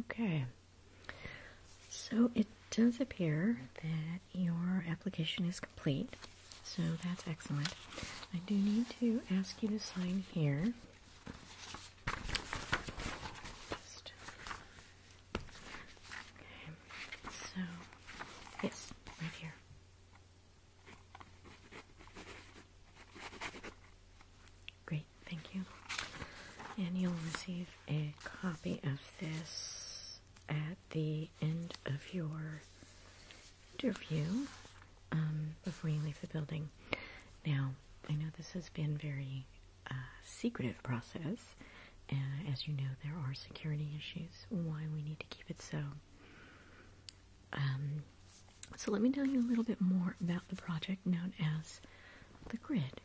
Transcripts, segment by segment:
Okay. So it does appear that your application is complete. So that's excellent. I do need to ask you to sign here. So, yes, right here. Great, thank you. And you'll receive a copy of this at the end of your interview um, before you leave the building. Now, I know this has been very uh, secretive process, and as you know, there are security issues. Why we need to keep it so um, so let me tell you a little bit more about the project known as the grid.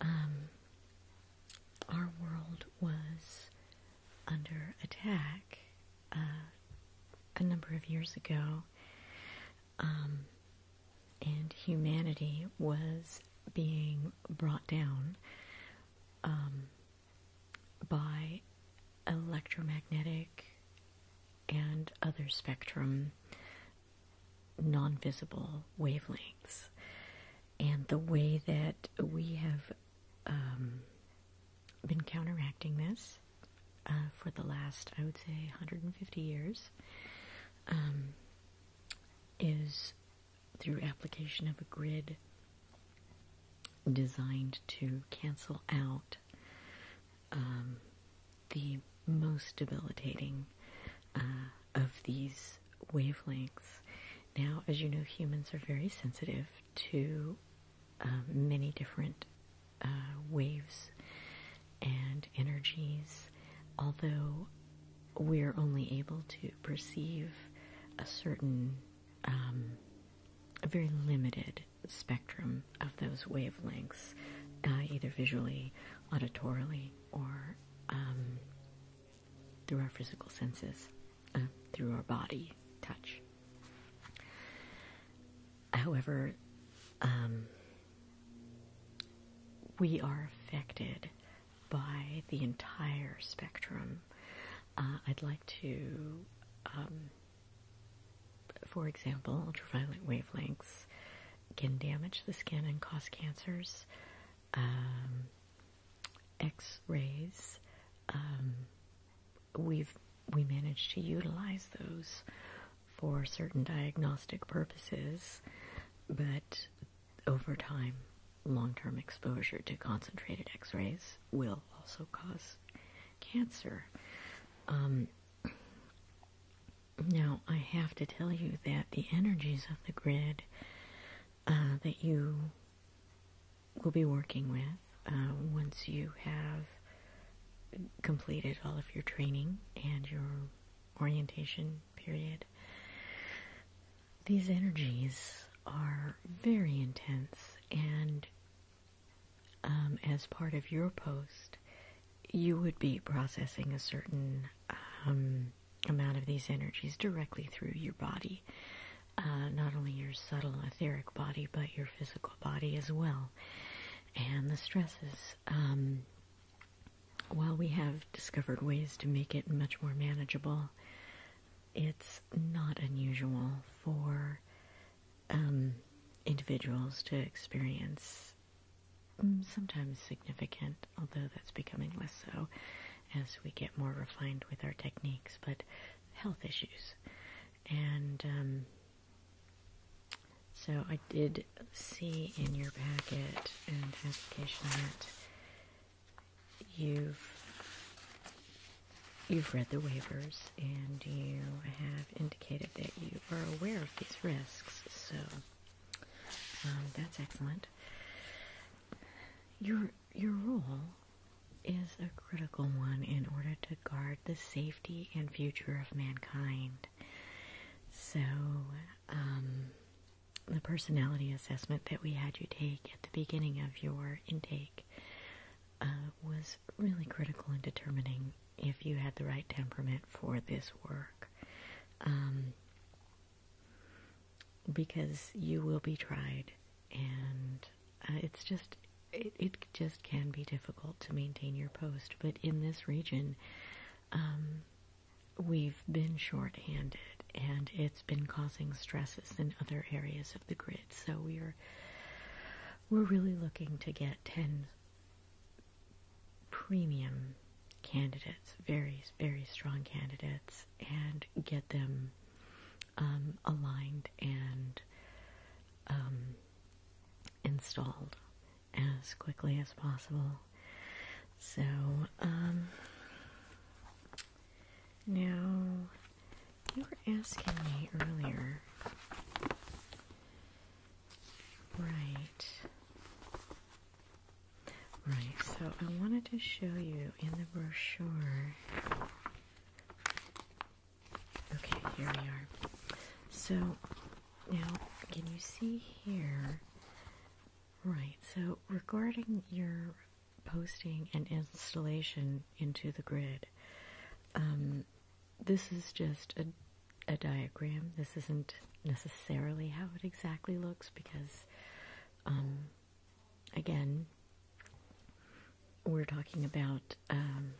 Um, our world was under attack uh, a number of years ago, um, and humanity was being brought down um, by electromagnetic and other spectrum non visible wavelengths. And the way that we have um, been counteracting this uh, for the last, I would say, 150 years um, is through application of a grid designed to cancel out um, the most debilitating uh, of these wavelengths. Now, as you know, humans are very sensitive to um, many different uh, waves and energies, although we're only able to perceive a certain, um, a very limited spectrum of those wavelengths, uh, either visually, auditorily, or um, through our physical senses, uh, through our body, touch. However, um, we are affected by the entire spectrum. Uh, I'd like to um, for example, ultraviolet wavelengths can damage the skin and cause cancers. Um, X rays, um, we've we managed to utilize those for certain diagnostic purposes, but over time, long term exposure to concentrated X rays will also cause cancer. Um, now, I have to tell you that the energies of the grid uh, that you will be working with uh, once you have completed all of your training and your orientation period, these energies are very intense and um, as part of your post you would be processing a certain um, amount of these energies directly through your body. Uh, not only your subtle etheric body, but your physical body as well. And the stresses. Um, while we have discovered ways to make it much more manageable, it's not unusual for um, individuals to experience Mm, sometimes significant, although that's becoming less so as we get more refined with our techniques, but health issues. And um, so I did see in your packet and application that you've you've read the waivers and you have indicated that you are aware of these risks. So um, that's excellent. Your your role is a critical one in order to guard the safety and future of mankind. So, um, the personality assessment that we had you take at the beginning of your intake uh, was really critical in determining if you had the right temperament for this work. Um, because you will be tried, and uh, it's just, it, just can be difficult to maintain your post. But in this region, um, we've been short-handed, and it's been causing stresses in other areas of the grid. So we're we're really looking to get 10 premium candidates, very, very strong candidates, and get them um, aligned and um, installed as quickly as possible. So, um, now you were asking me earlier, right? Right, so I wanted to show you in the brochure. Okay, here we are. So now, can you see here? Right, so regarding your posting and installation into the grid, um, this is just a a diagram. This isn't necessarily how it exactly looks because, um, again, we're talking about um,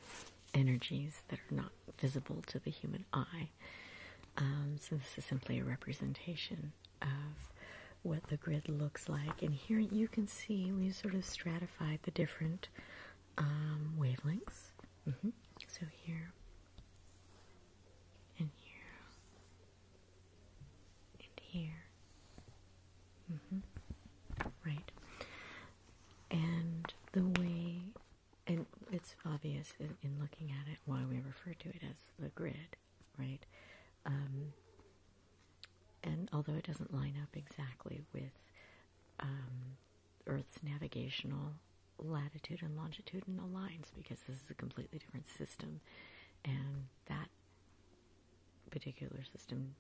energies that are not visible to the human eye. Um, so this is simply a representation of what the grid looks like. And here you can see we sort of stratified the different wavelengths. Mm-hmm. So here and here and here. Mm-hmm. right. And the way and it's obvious in, looking at it why we refer to it as the grid, right? Um, and although it doesn't line up exactly with um, Earth's navigational latitude and longitudinal lines because this is a completely different system, and that particular system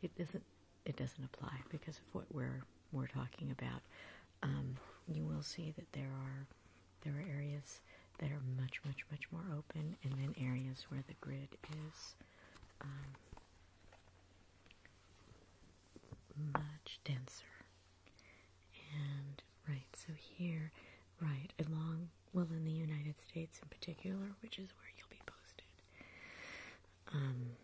it doesn't it doesn't apply because of what we're we're talking about. Um, you will see that there are there are areas that are much much much more open, and then areas where the grid is. Um, much denser and right, so here, right, along, well, in the United States in particular, which is where you'll be posted, um,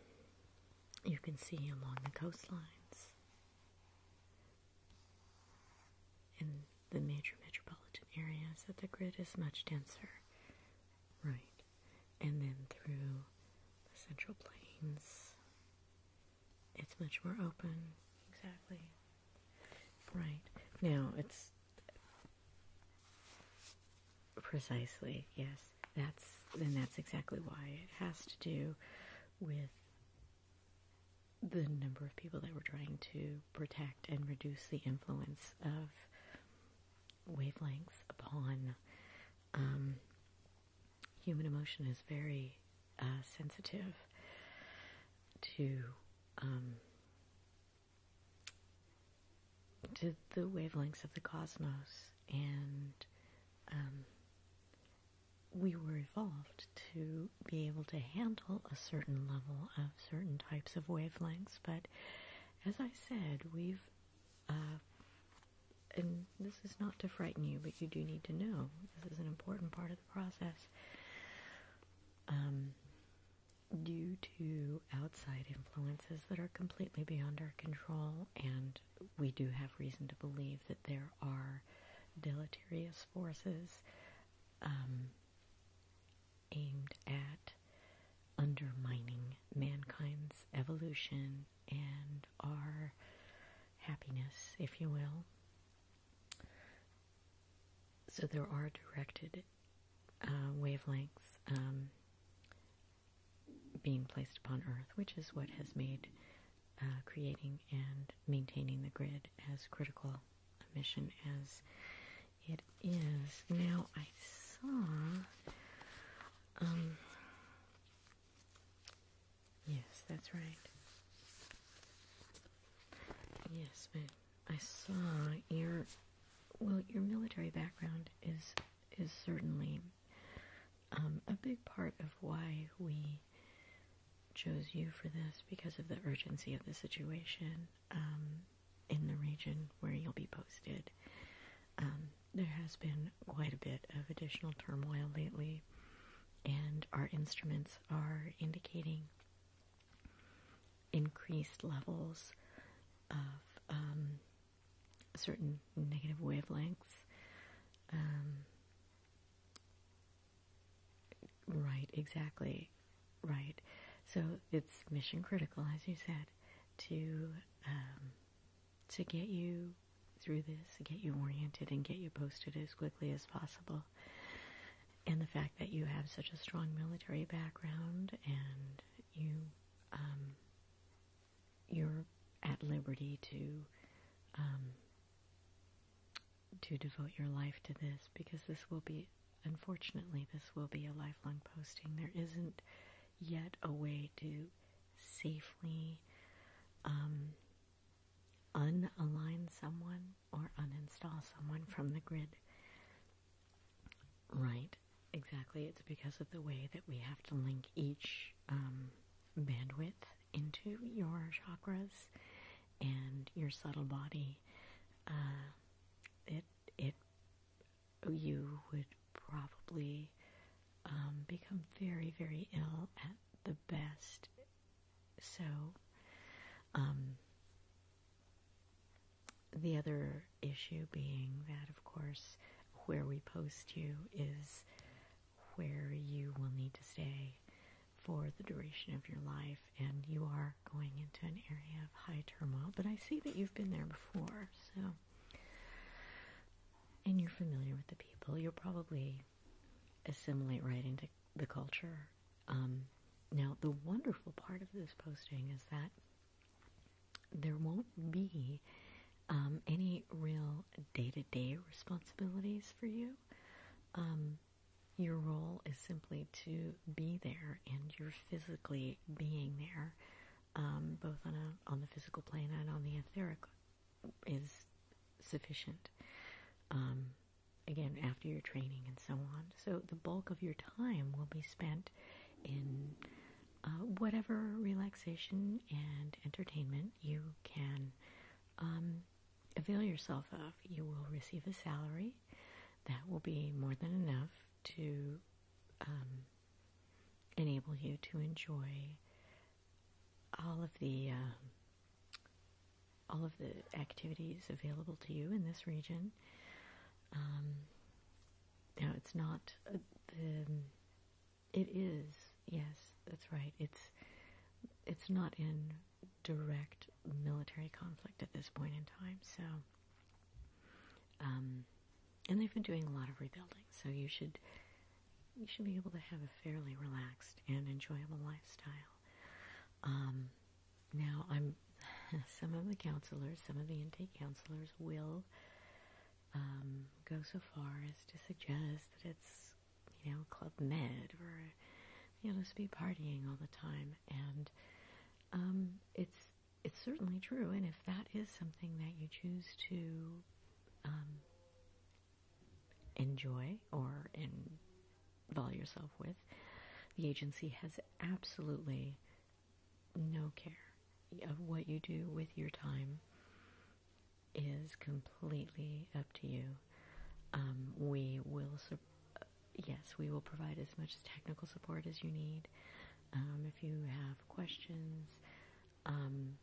you can see along the coastlines in the major metropolitan areas that the grid is much denser. Right. And then through the central plains it's much more open. Exactly. Right. Now, it's precisely, yes. That's and that's exactly why it has to do with the number of people that we're trying to protect and reduce the influence of wavelengths upon um, human emotion is very uh, sensitive to um, to the wavelengths of the cosmos, and um, we were evolved to be able to handle a certain level of certain types of wavelengths. But as I said, we've uh, and this is not to frighten you, but you do need to know this is an important part of the process. Um, due to outside influences that are completely beyond our control, and we do have reason to believe that there are deleterious forces um, aimed at undermining mankind's evolution and are happiness, if you will. So there are directed uh, wavelengths um, being placed upon Earth, which is what has made uh, creating and maintaining the grid as critical a mission as it is. Now, I saw um, Yes, that's right. Yes, but I saw your well, your military background is is certainly um, a big part of why we chose you for this because of the urgency of the situation um, in the region where you'll be posted. Um, there has been quite a bit of additional turmoil lately and our instruments are indicating increased levels of um, certain negative wavelengths. Um, right, exactly, right. So it's mission critical, as you said, to um, to get you through this, get you oriented, and get you posted as quickly as possible. And the fact that you have such a strong military background and you um, you're at liberty to um, to devote your life to this because this will be unfortunately this will be a lifelong posting. There isn't yet a way to safely um, unalign someone or uninstall someone from the grid. Right, exactly. It's because of the way that we have to link each um, bandwidth into your chakras and your subtle body. Uh, it it you would probably um, become very very ill at the best so, um, the other issue being that, of course, where we post you is where you will need to stay for the duration of your life, and you are going into an area of high turmoil. But I see that you've been there before, so. And you're familiar with the people. you are probably assimilate right into the culture. Um, now, the wonderful part of this posting is that there won't be um, any real day to day responsibilities for you. Um, your role is simply to be there, and your physically being there, both on on the physical plane and on the etheric, is sufficient again after your training and so on. So the bulk of your time will be spent in uh, whatever relaxation and entertainment you can um, avail yourself of. You will receive a salary that will be more than enough to um, enable you to enjoy all of the uh, all of the activities available to you in this region. Um, it's not uh, It is yes, that's right. It's it's not in direct military conflict at this point in time. So, um, and they've been doing a lot of rebuilding. So you should you should be able to have a fairly relaxed and enjoyable lifestyle. Um, now, I'm some of the counselors, some of the intake counselors will um, go so far as to suggest that it's, you know, Club Med or you know, just be partying all the time, and um, it's it's certainly true. And if that is something that you choose to um, enjoy or involve yourself with. The agency has absolutely no care of what you do with your time is completely up to you. Um, we will, yes, we will provide as much technical support as you need. Um, if you have questions um,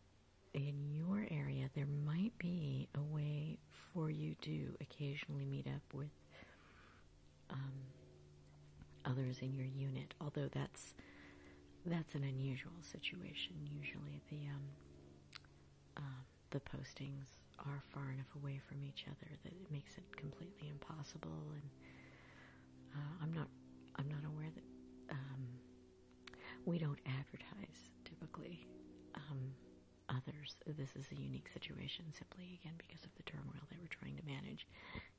in your area, there might be a way for you do occasionally meet up with um, others in your unit, although that's that's an unusual situation. Usually, the um, um, the postings are far enough away from each other that it makes it completely impossible. And uh, I'm not I'm not aware that we don't advertise typically others. This is a unique situation simply again because of the turmoil they were trying to manage.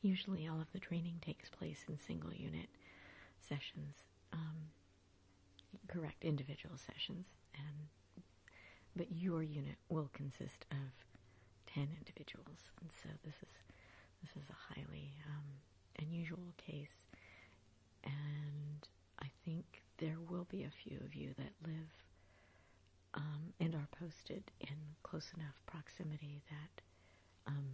Usually all of the training takes place in single unit sessions, um, correct individual sessions, and but your unit will consist of 10 individuals. And so this is this is a highly um, unusual case and I think there will be a few of you that live um, and are posted in close enough proximity that, um,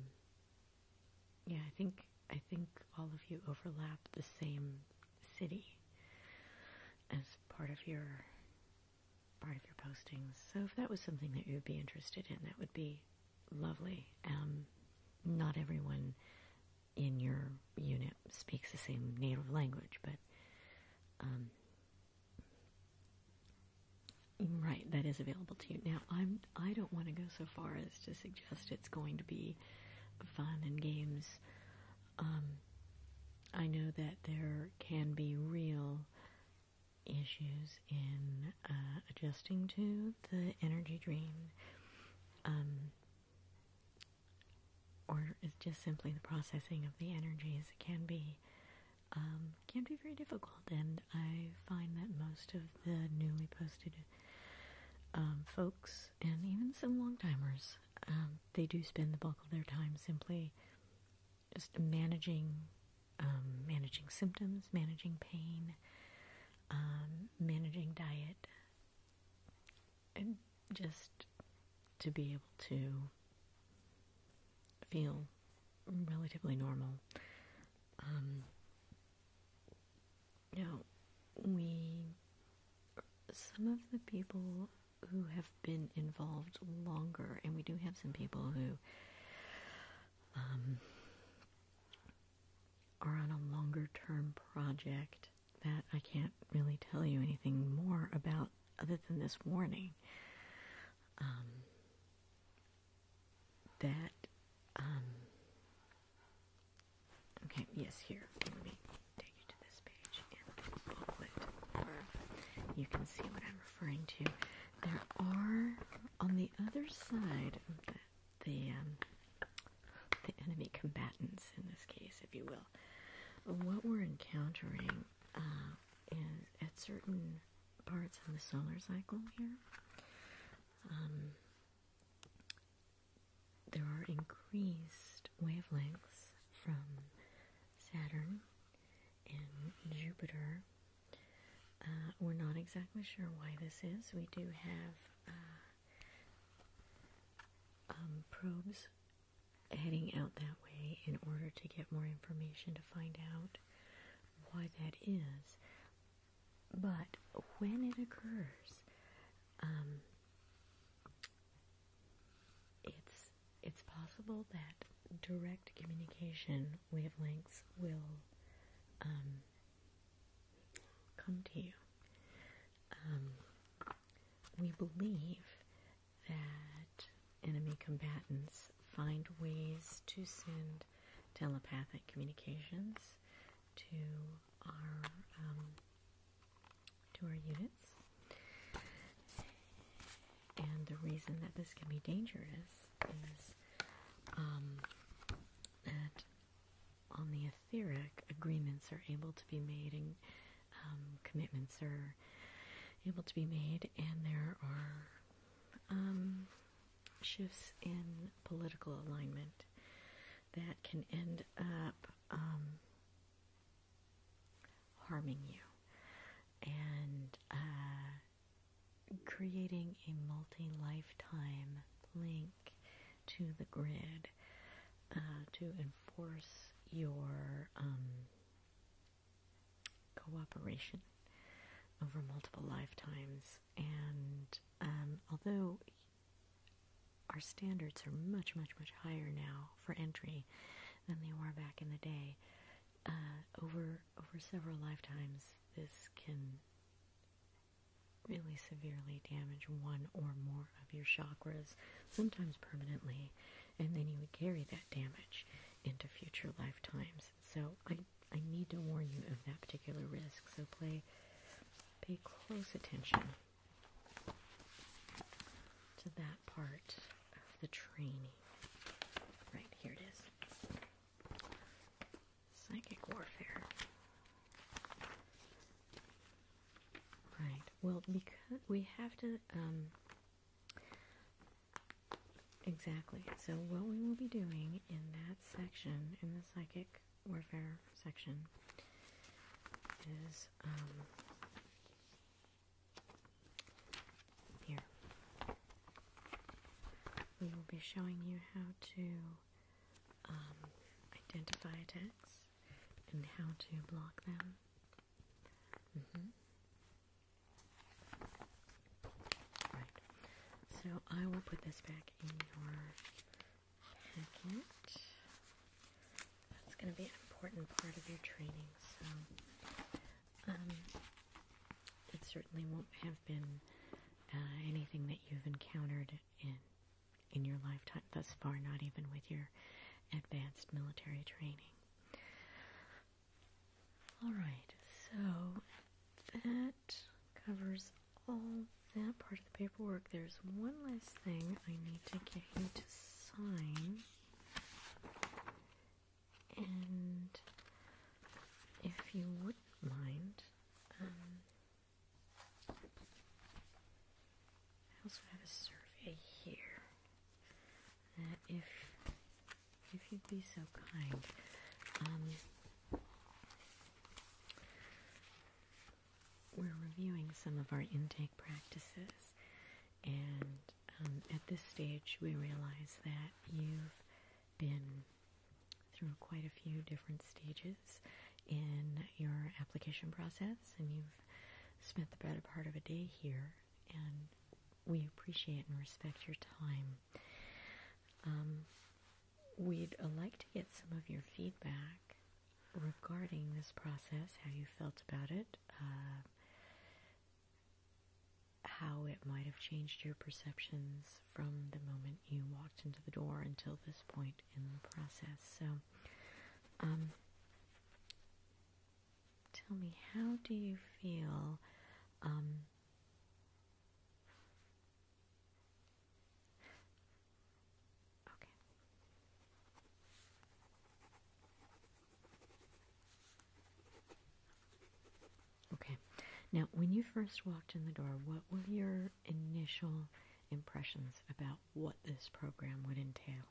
yeah, I think I think all of you overlap the same city as part of your part of your postings. So if that was something that you would be interested in, that would be lovely. Um, not everyone in your unit speaks the same native language, but um, right, that is available to you. Now, I'm I don't want to go so far as to suggest it's going to be fun and games. Um, I know that there can be real issues in uh, adjusting to the energy dream. Um, or is just simply the processing of the energies can be um, can be very difficult, and I find that most of the newly posted um, folks and even some long timers um, they do spend the bulk of their time simply just managing managing symptoms, managing pain, managing diet, and just to be able to feel relatively normal. Um, we, some of the people who have been involved longer, and we do have some people who um, are on a longer term project that I can't really tell you anything more about other than this warning. Um, that, um, okay, yes, here, let me take you to this page in the booklet you can see what I'm referring to. There are, on the other side of the, the um, enemy combatants in this case, if you will, what we're encountering uh, is at certain parts of the solar cycle here, um, there are increased wavelengths from Saturn and Jupiter. Uh, we're not exactly sure why this is. We do have uh, um, probes heading out that way in order to get more information to find out why that is. But when it occurs, um, it's it's possible that direct communication wavelengths will um, come to you. Um, we believe that enemy combatants find ways to send telepathic communications to our um, to our units. And the reason that this can be dangerous is um, that on the etheric, agreements are able to be made and um, commitments are able to be made, and there are um, shifts in political alignment that can end up um, harming you and uh, creating a multi lifetime link to the grid uh, to enforce your um, cooperation over multiple lifetimes. And um, although our standards are much, much, much higher now for entry than they were back in the day, uh, over over several lifetimes, this can really severely damage one or more of your chakras, sometimes permanently and then you would carry that damage into future lifetimes. So I I need to warn you of that particular risk. So play pay close attention to that part of the training. Right, here it is. Psychic warfare. Right. Well, because we have to. Um, exactly. So what we will be doing in that section, in the psychic warfare section, is um, here. We will be showing you how to um, identify attacks and how to block them Mm-hmm. So I will put this back in your packet. That's going to be an important part of your training. So um, it certainly won't have been uh, anything that you've encountered in in your lifetime thus far, not even with your advanced military training. Alright, so that covers all that part of the paperwork. There's one last thing I need to get you to sign. And if you wouldn't mind, um, I also have a survey here that if if you'd be so kind, um, we're reviewing some of our intake practices, and um, at this stage we realize that you've been through quite a few different stages in your application process, and you've spent the better part of a day here and we appreciate and respect your time. Um, we'd uh, like to get some of your feedback regarding this process, how you felt about it, uh, how it might have changed your perceptions from the moment you walked into the door until this point in the process. So, um, Tell me, how do you feel? Um, okay. Okay. Now, when you first walked in the door, what were your initial impressions about what this program would entail?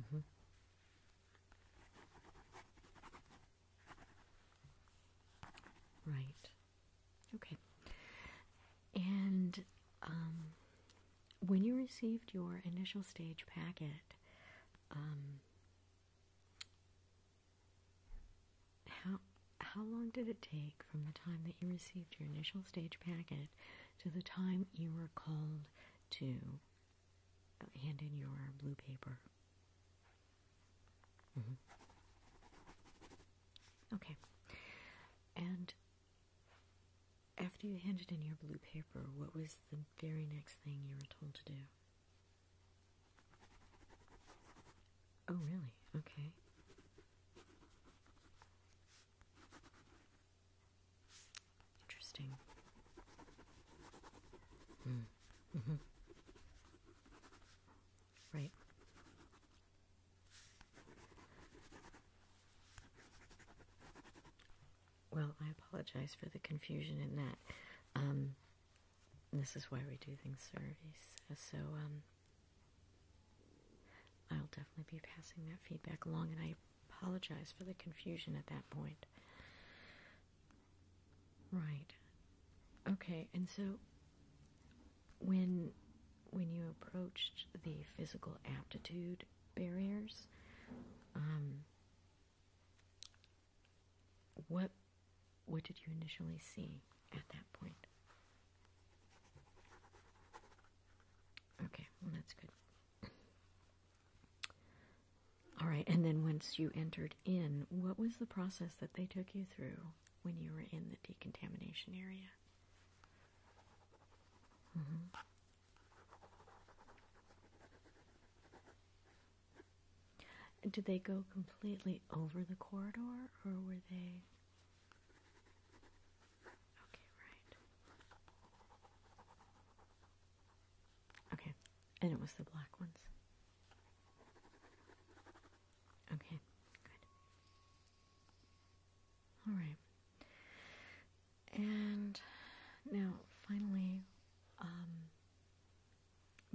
Mm-hmm. Right. Okay. And um, when you received your initial stage packet, um, how how long did it take from the time that you received your initial stage packet to the time you were called to hand in your blue paper? Mm-hmm. Okay. And after you handed in your blue paper, what was the very next thing you were told to do? Oh, really? Okay. Interesting. Mm. Mm -hmm. Mm-hmm. Right. Well, I apologize for the confusion in that. Um, this is why we do things surveys. So, um, I'll definitely be passing that feedback along, and I apologize for the confusion at that point. Right. Okay, and so when when you approached the physical aptitude barriers, um, what what did you initially see at that point? Okay, well, that's good. All right, and then once you entered in, what was the process that they took you through when you were in the decontamination area? Mm Did they go completely over the corridor or were they Okay, right. Okay, and it was the black ones. Okay, good. All right. And now, finally, um,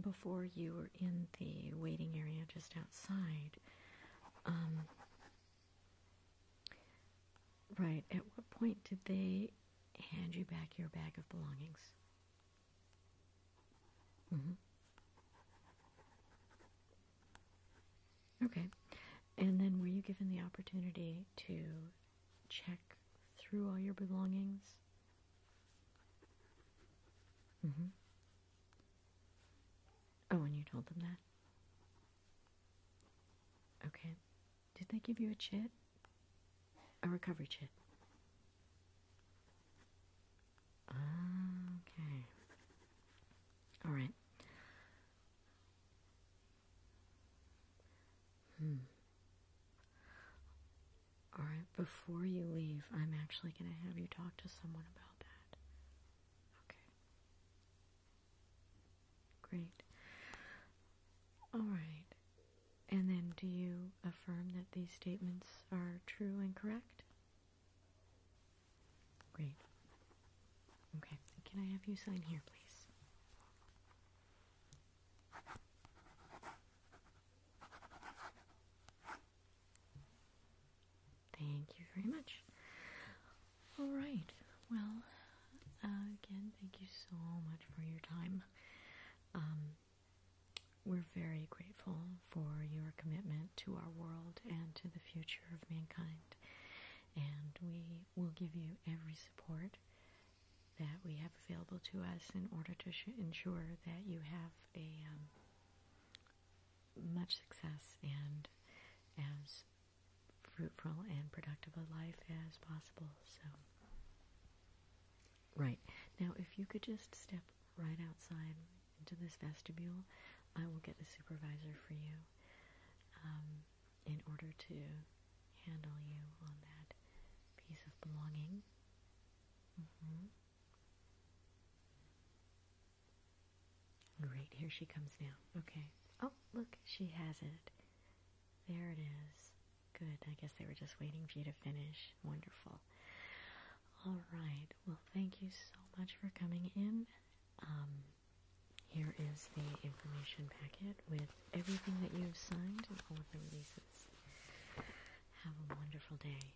before you were in the waiting area just outside, um, right, at what point did they hand you back your bag of belongings? Mm-hmm. Okay, and then were you given the opportunity to check through all your belongings? Mm-hmm. Oh, and you told them that? Okay. Did they give you a chit? A recovery chit? Okay. All right. Hmm. All right, before you leave, I'm actually going to have you talk to someone about that. Okay. Great. All right. And then do you affirm that these statements are true and correct? Great. Okay. Can I have you sign here, please? Thank you very much. All right. Well, again, thank you so much for your time. Um, we're very grateful for your commitment to our world and to the future of mankind. And we will give you every support that we have available to us in order to ensure that you have a um, much success and as fruitful and productive a life as possible. So, right. Now, if you could just step right outside into this vestibule, I will get the supervisor for you um, in order to handle you on that piece of belonging. Mm-hmm. Great, here she comes now. Okay. Oh, look, she has it. There it is. Good, I guess they were just waiting for you to finish. Wonderful. All right, well, thank you so much for coming in. Um, here is the information packet with everything that you've signed and all of the releases. Have a wonderful day.